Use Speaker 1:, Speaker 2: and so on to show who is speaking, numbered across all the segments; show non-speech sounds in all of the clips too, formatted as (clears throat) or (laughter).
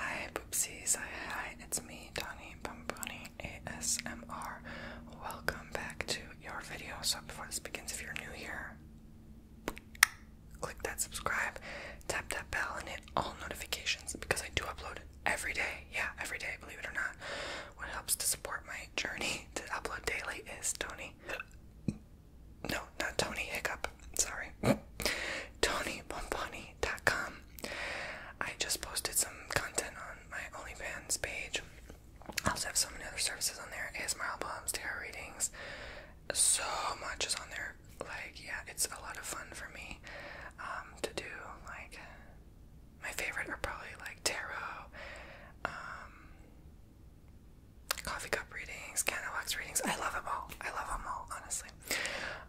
Speaker 1: Hi, poopsies. Hi, It's me, Donnie Pomponi ASMR. Welcome back to your video. So, before this begins, if you're new here, click that subscribe, tap that bell, and hit all notifications because I do upload every day. Yeah, every day, believe it or not. What helps to support my journey (laughs) to upload daily is Tony no, not Tony Hiccup. Sorry. (clears throat) TonyBomboni.com. I just posted some content on my OnlyFans page. I also have so many other services on there. ASMR albums, tarot readings. So much is on there. Like, yeah, it's a lot of fun for me um, to do. Like, my favorite are probably like tarot, um, Coffee cup readings, candle wax readings. I love them all. I love them all, honestly.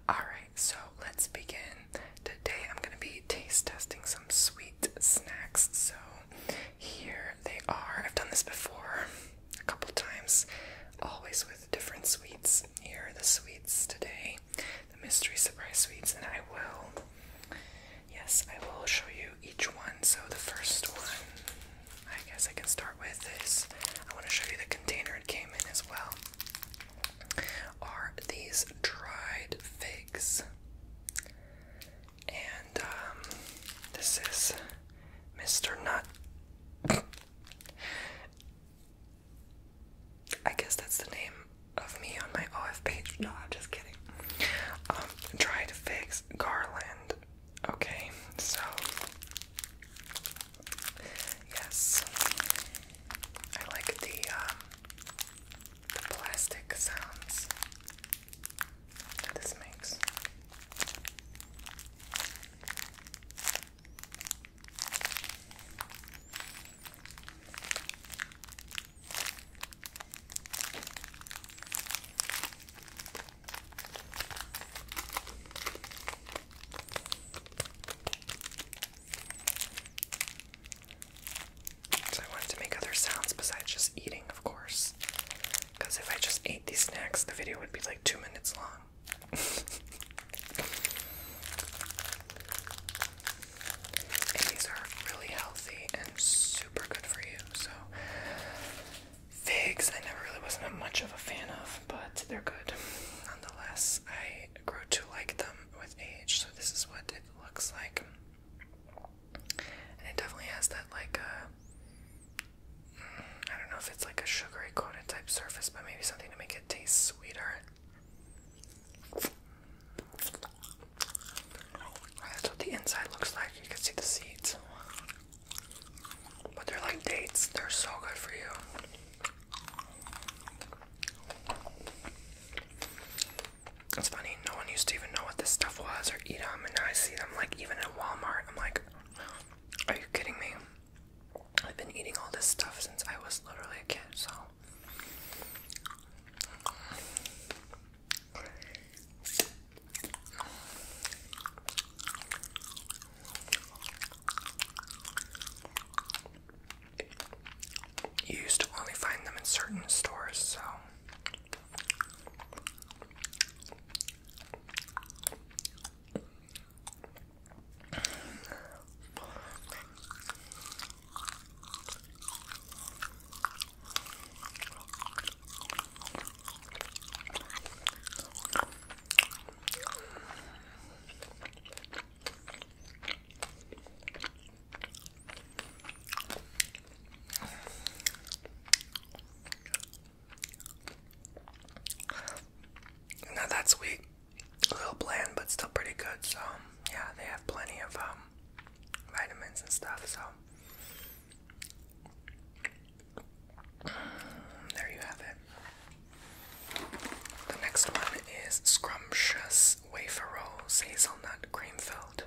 Speaker 1: Alright, so let's begin. Today I'm going to be taste testing some sweet snacks. So here they are. I've done this before a couple times, always with different sweets. Here are the sweets today, the mystery surprise sweets, and I will. Yes, I will show you each one. So the first one I guess I can start with this. I want to show you the container it came in as well. Are these dried figs? And um, this is Mr. Nut. I guess that's the name of me on my OF page. No, I'm just kidding. Um, dried figs garland Okay, so yes, I like the um, the plastic sounds that this makes. So I wanted to make other sounds besides just eating, of course. Because if I just ate these snacks, the video would be like two minutes long. (laughs) and these are really healthy and super good for you, so Figs, I never really wasn't much of a fan of, but they're good. Nonetheless, I grow to like them with age, so this is what it looks like. And it definitely has that, like, uh, mm, don't know if it's like a sugary coated type surface, but maybe something to make it taste sweeter. That's what the inside looks like. You can see the seeds. But they're like dates, they're so good for you. It's funny, no one used to even know what this stuff was or eat them, and now I see them like even at Walmart. I'm like, are you kidding me? I've been eating all this stuff since I was literally a kid, so. You used to only find them in certain stores, so. Now that's sweet. A little bland, but still pretty good. So, yeah, they have plenty of um, vitamins and stuff. So, there you have it. The next one is Scrumptious Wafer Rolls Hazelnut Cream Filled.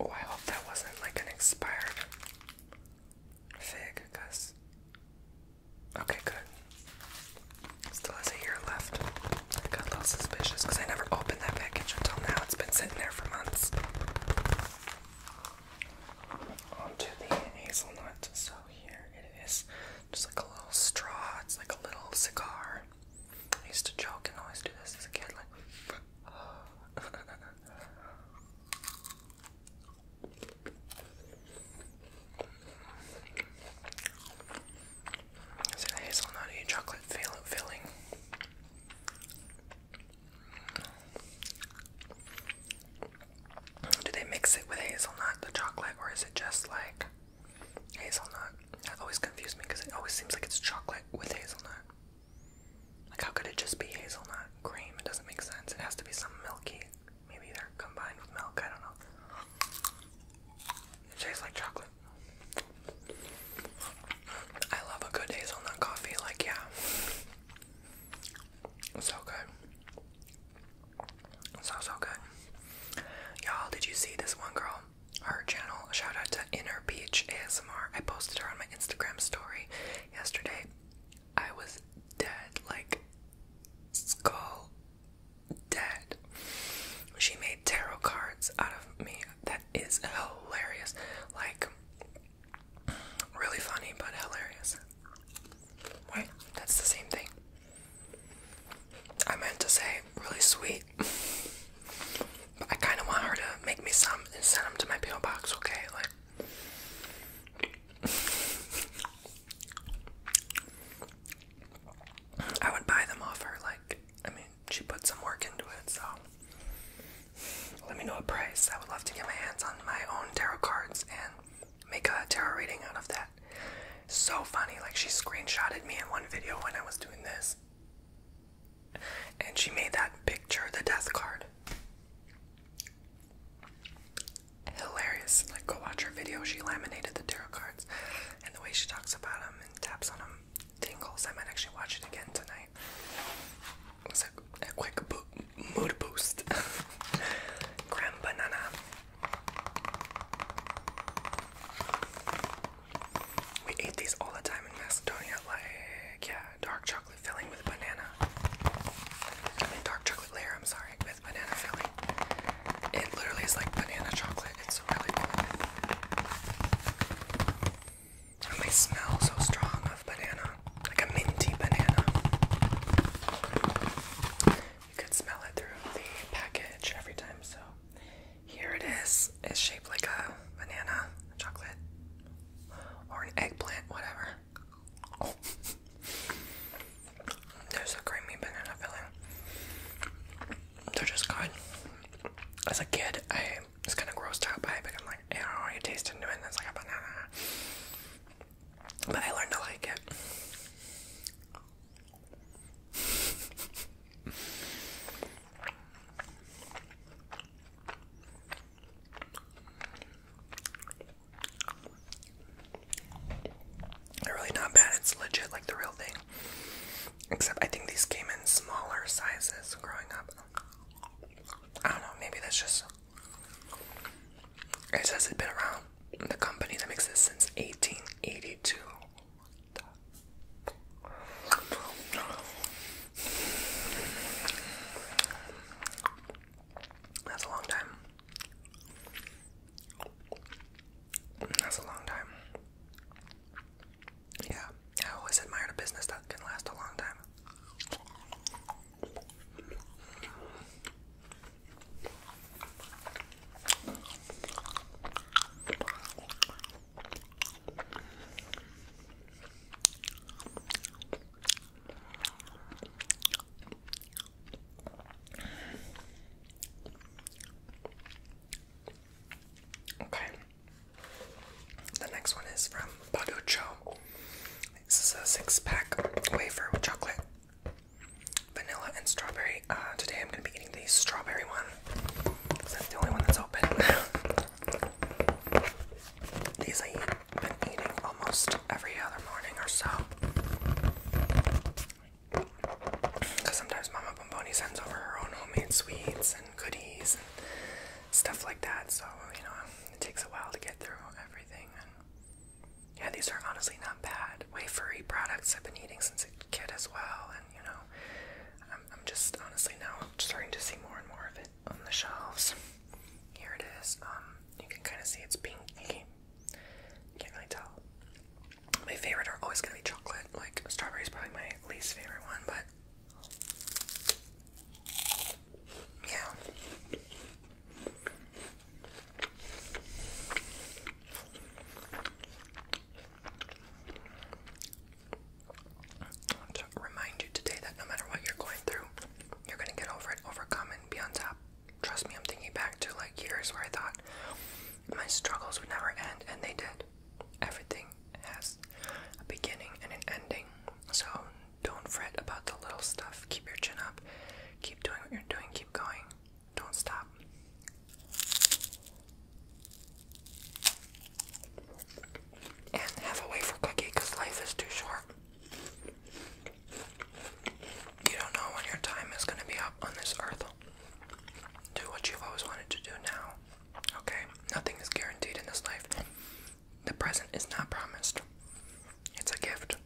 Speaker 1: Oh, I hope that wasn't like an expired fig, because. Okay, good. Still has a year left. I got a little suspicious because I never opened that package until now. It's been sitting there for months. Onto the hazelnut. So here it is. Just like a little straw. It's like a little cigar. I used to joke and always do this as a kid. Like, is it hazelnutty chocolate filling? Do they mix it with hazelnut, the chocolate, or is it just like hazelnut? That always confuses me because it always seems like it's chocolate with hazelnut. Like, how could it just be hazelnut cream? It doesn't make sense. It has to be some milky. Maybe they're combined with milk. I don't know. It tastes like chocolate. I love a good hazelnut coffee. Like, yeah. So good. So, so good. Y'all, did you see this one girl? her channel. Shout out to Inner Beach ASMR. I posted her on my Instagram story yesterday. I was dead, like skull dead. She made tarot cards out of me. That is hilarious. Like, really funny, but hilarious. Wait, that's the same thing. I meant to say really sweet. (laughs) I kind of want her to make me some and send them to my PO box, okay? Like. I would buy them off her, like, I mean, she put some work into it, so. Let me know a price. I would love to get my hands on my own tarot cards and make a tarot reading out of that. So funny, like, she screenshotted me in one video when I was doing this. And she made that picture the death card. Hilarious. Like, go watch her video. She laminated the tarot cards. And the way she talks about them and taps on them tingles. I might actually watch it again tonight. quick mood boost. (laughs) Graham banana. We ate these all the time in Macedonia, like, yeah, dark chocolate filling with banana. I mean, dark chocolate layer, I'm sorry, with banana filling. It literally is like banana chocolate, it's so really cool. And they smell so strong of banana, like a minty banana. You could smell it through the package every time, so here it is. It's shaped like a banana, a chocolate, or an eggplant, whatever. There's a creamy banana filling. They're just good. As a kid, I was kind of grossed out by it, but I'm like, I you taste a banana. But I learned to like it. They're really not bad. It's legit like the real thing. Except I think these came in smaller sizes growing up. I don't know, maybe that's just. It says it's been around the company that makes this since 1882. That's a long time. That's a long time. Yeah, I always admired a business that can last a long time. Okay. The next one is from Baducho. This is a six pack wafer with chocolate vanilla and strawberry. Uh, today I'm gonna be eating the strawberry one. That's the only one that's open. (laughs) These I've been eating almost every other morning or so. Because sometimes Mama Bomboni sends over her own homemade sweets and goodies and stuff like that. So, you know, it takes a while to get through everything. yeah, these are honestly not bad. Wafery products I've been eating since kid as well, and you know, I'm, I'm just honestly now starting to see more and more of it on the shelves. Here it is. Um, you can kind of see it's pink. You can't really tell. My favorite are always gonna be chocolate. Like strawberry probably my least favorite one, but yeah to remind you today that no matter what you're going through, you're gonna get over it, overcome, and be on top. Trust me, I'm thinking back to like years where I thought my struggles would never end, and they did. Everything has a beginning and an ending, so don't fret about the little stuff. Keep your chin up, keep doing what you're doing, keep going. Don't stop. And have a wafer cookie because life is too short. You don't know when your time is going to be up on this earth. Do what you've always wanted to do now. Okay? Nothing is guaranteed in this life. The present is not promised, it's a gift.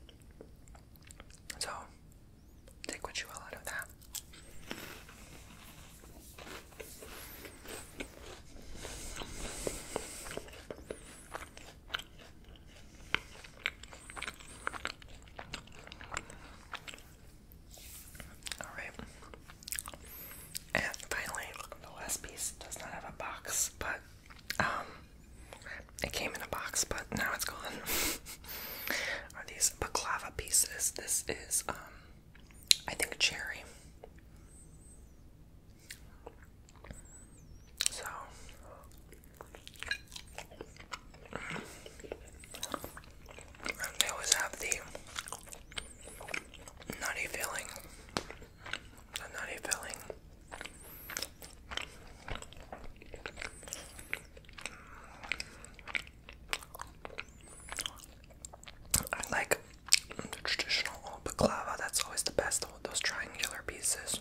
Speaker 1: So, Take what you will out of that. All right. And finally, the last piece does not have a box, but um, it came in a box, but now it's gone. (laughs) are these baklava pieces. This is, um, I think, cherry. So, they always have the nutty filling. The nutty filling. I like traditional baklava, that's always the best, those triangular pieces.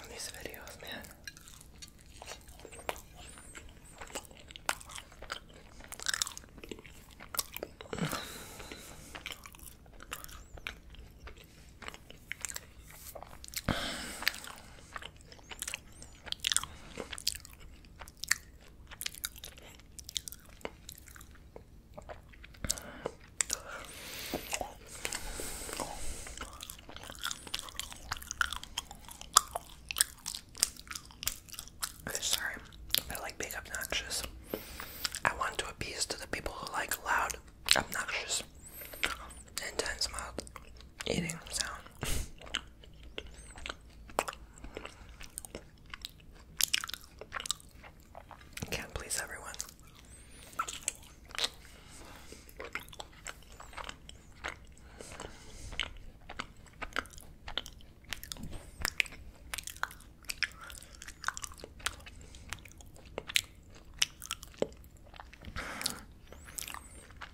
Speaker 1: on these videos, man sorry, I like being obnoxious. I want to appease to the people who like loud, obnoxious, intense mouth eating sound. Can't please everyone. I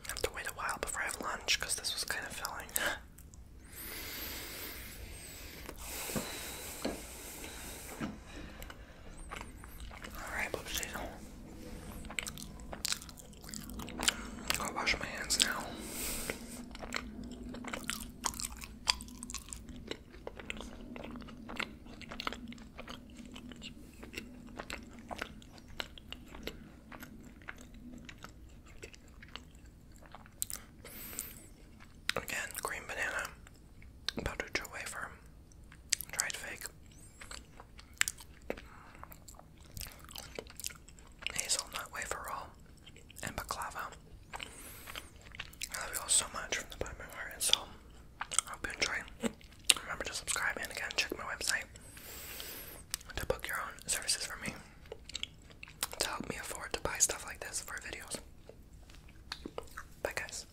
Speaker 1: have to wait a while before I have lunch because this was kind of filling. Alright, poopsies. I'll wash my hands now. Again, green banana powdered wafer, dried fig, hazelnut wafer roll, and baklava. I love you all so much from the bottom of my heart and soul. I hope you enjoy. Remember to subscribe and again check my website to book your own services for me to help me afford to buy stuff like this for videos. Bye guys.